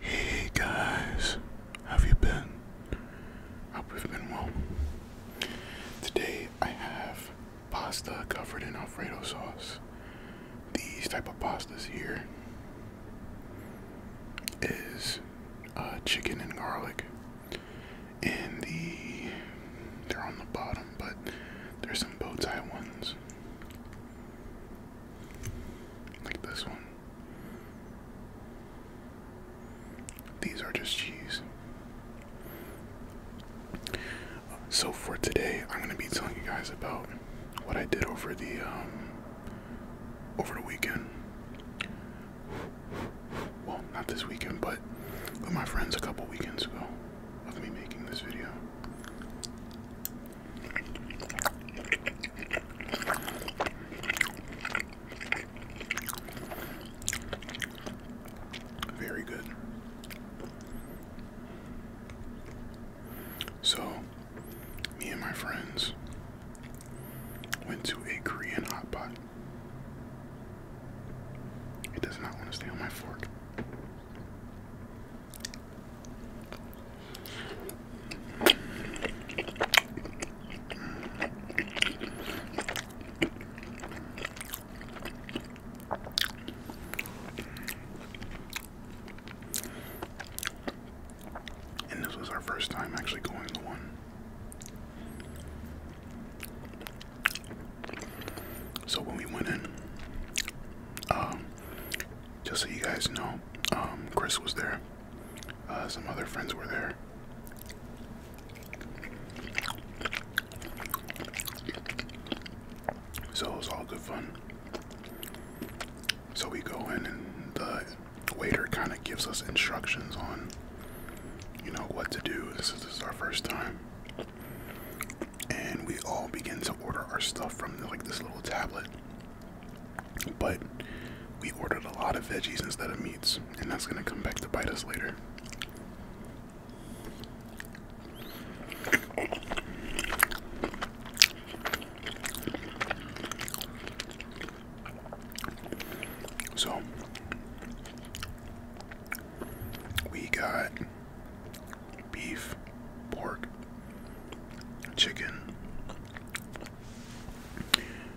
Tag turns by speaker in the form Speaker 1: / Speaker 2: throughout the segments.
Speaker 1: Hey guys, how have you been? Hope you've been well. Today I have pasta covered in Alfredo sauce. These type of pastas here is uh, chicken and garlic, and the they're on the bottom, but there's some bow ones like this one. These are just cheese. So for today, I'm gonna be telling you guys about what I did over the um, over the weekend. Well, not this weekend, but with my friends a couple weekends ago of me making this video. Very good. So, me and my friends went to a Korean hot pot. It does not want to stay on my fork. And this was our first time actually going to one. So when we went in, um, just so you guys know, um, Chris was there. Uh, some other friends were there. So it was all good fun. So we go in, and the waiter kind of gives us instructions on, you know, what to do. this is our first time. And we all begin to order our stuff from like this little tablet. But we ordered a lot of veggies instead of meats, and that's gonna come back to bite us later. So we got beef, pork, chicken,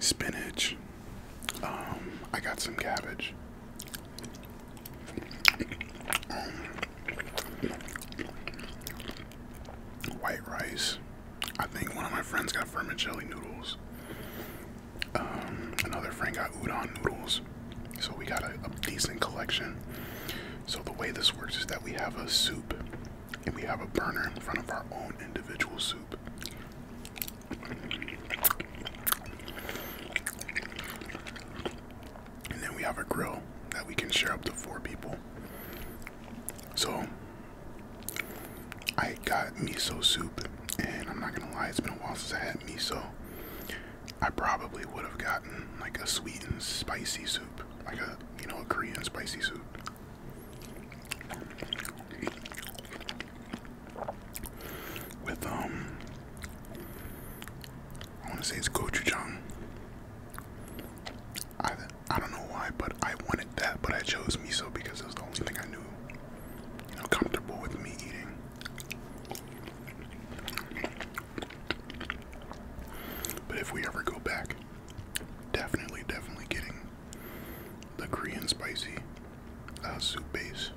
Speaker 1: spinach. Um, I got some cabbage. White rice. I think one of my friends got vermicelli noodles. Um, another friend got udon noodles. So we got a decent collection. So the way this works is that we have a soup and we have a burner in front of our own individual soup. And then we have a grill that we can share up to four people. So I got miso soup, and I'm not gonna lie, it's been a while since I had miso. I probably would have gotten like a sweet and spicy soup like a you know a Korean spicy soup. With um, I want to say it's gochujang. I I don't know why, but I wanted that, but I chose miso because it was the only thing I knew, you know, comfortable with me eating. But if we ever go back, Definitely, definitely getting the Korean spicy uh, soup base.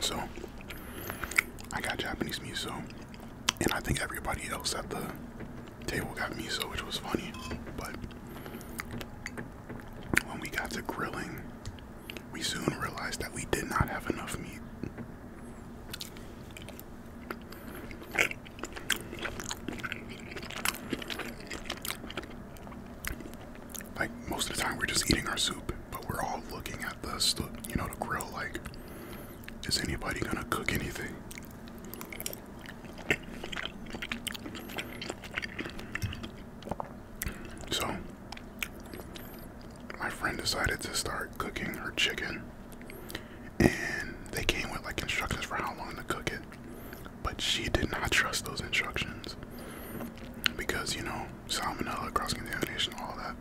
Speaker 1: So, I got Japanese miso, and I think everybody else at the table got miso, which was funny. But when we got to grilling, we soon realized that we did not have enough meat. Like most of the time, we're just eating our soup, but we're all looking at the, you know, the grill. Like, is anybody gonna cook anything? So my friend decided to start cooking her chicken and they came with like instructions for how long to cook it but she did not trust those instructions because you know salmonella cross-contamination all that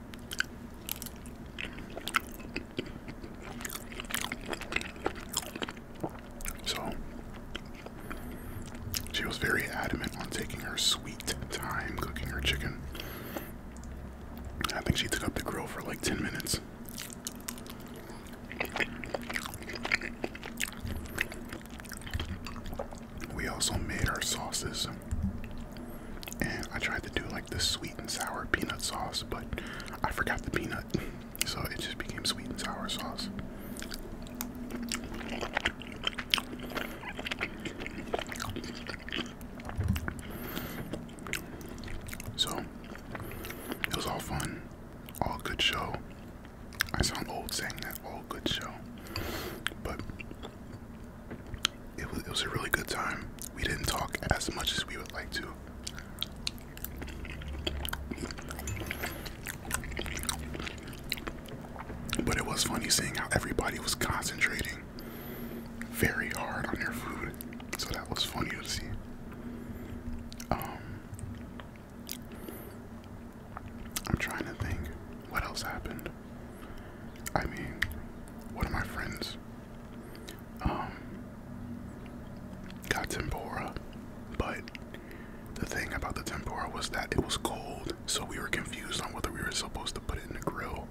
Speaker 1: so she was very adamant on taking her sweet time cooking her chicken. I think she took up the grill for like 10 minutes. We also made our sauces. And I tried to do like the sweet and sour peanut sauce, but I forgot the peanut. So it just became sweet and sour sauce. So it was all fun, all good show. I sound old saying that, all good show, but it was it was a really good time. We didn't talk as much as we would like to. But it was funny seeing how everybody was concentrating very hard on their food. So that was funny to see. Um, I'm trying to think what else happened. I mean, one of my friends um, got tempura, but the thing about the tempura was that it was cold, so we were confused on whether we were supposed to put it in the grill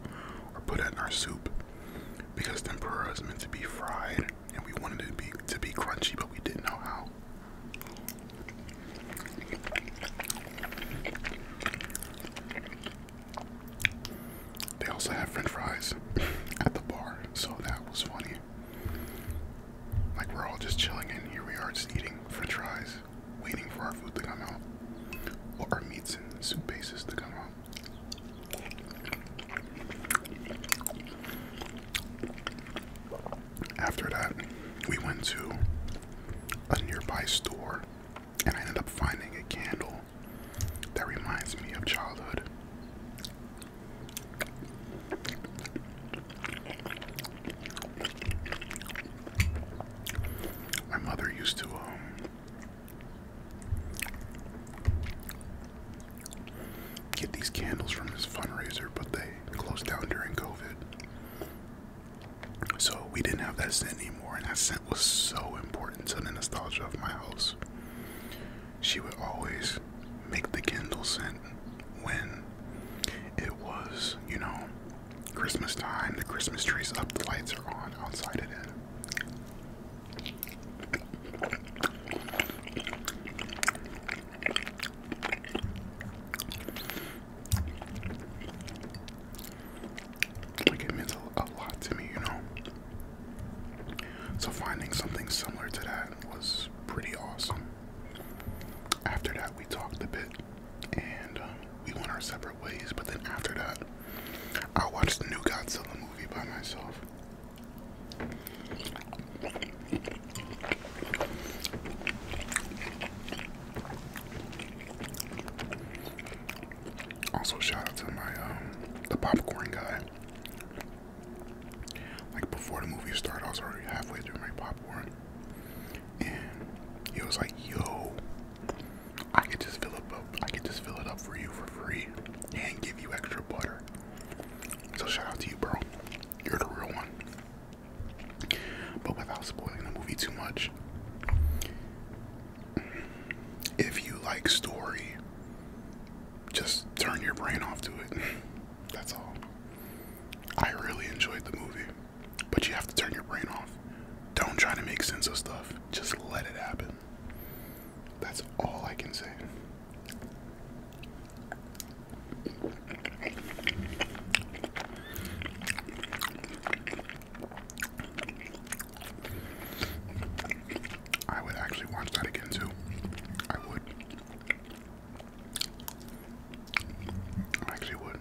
Speaker 1: or put it in our soup. Because tempura is meant to be fried, and we wanted it to be to be crunchy, but we didn't know how. They also have French fries at the bar, so that was funny. Like we're all just chilling, and here we are just eating French fries waiting for our food to come out, or our meats and soup bases to come out. After that, we went to a nearby store and I ended up finding a candle that reminds me of childhood. My mother used to um, get these candles from this fundraiser, but they closed down during COVID. So we didn't have that scent anymore, and that scent was so important to the nostalgia of my house. She would always make the candle scent when it was, you know, Christmas time, the Christmas tree's up, the lights are on, outside it in. Like it means a lot to me, you know. So finding something similar to that was pretty awesome. After that, we talked a bit and um, we went our separate ways. But then after that, I watched the new Godzilla movie by myself. Also, shout out to my um, the popcorn guy. Like before the movie started, I was already halfway through my popcorn and he was like, "Yo, I could just fill up, I could just fill it up for you for free, and give you extra butter." So shout out to you, bro. You're the real one. But without spoiling the movie too much, if you like story, just turn your brain off to it. That's all. I really enjoyed the movie. But you have to turn your brain off. Don't try to make sense of stuff. Just let it happen. That's all I can say. I would actually watch that again too. I would actually would.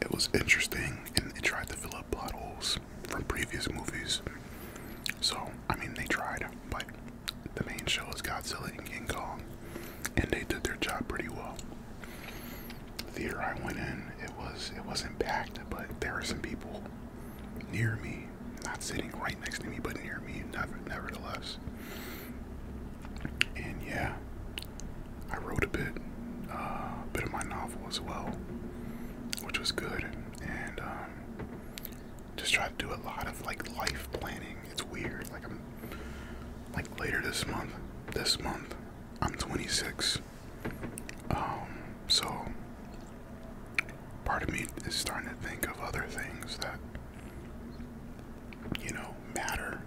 Speaker 1: It was interesting and they tried to fill up plot holes from previous movies. So, I mean, they tried, but the main show is Godzilla and King Kong, and they did their job pretty well. theater I went in, it was it was packed, but there were some people near me, not sitting right next to me, but near me, nevertheless. And yeah, I wrote a bit, uh, a bit of my novel as well, which was good, and um, just tried to do a lot of like life planning. It's weird, like I'm, like later this month, this month, I'm 26. Um, so part of me is starting to think of other things that, you know, matter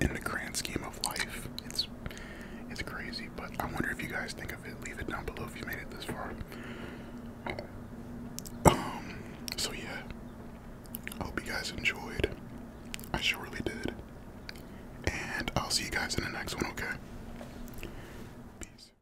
Speaker 1: in the grand scheme of life. It's it's crazy, but I wonder if you guys think of it. Leave it down below if you made it this far. Um, so yeah, I hope you guys enjoyed. I surely did. And I'll see you guys in the next one, okay? Peace.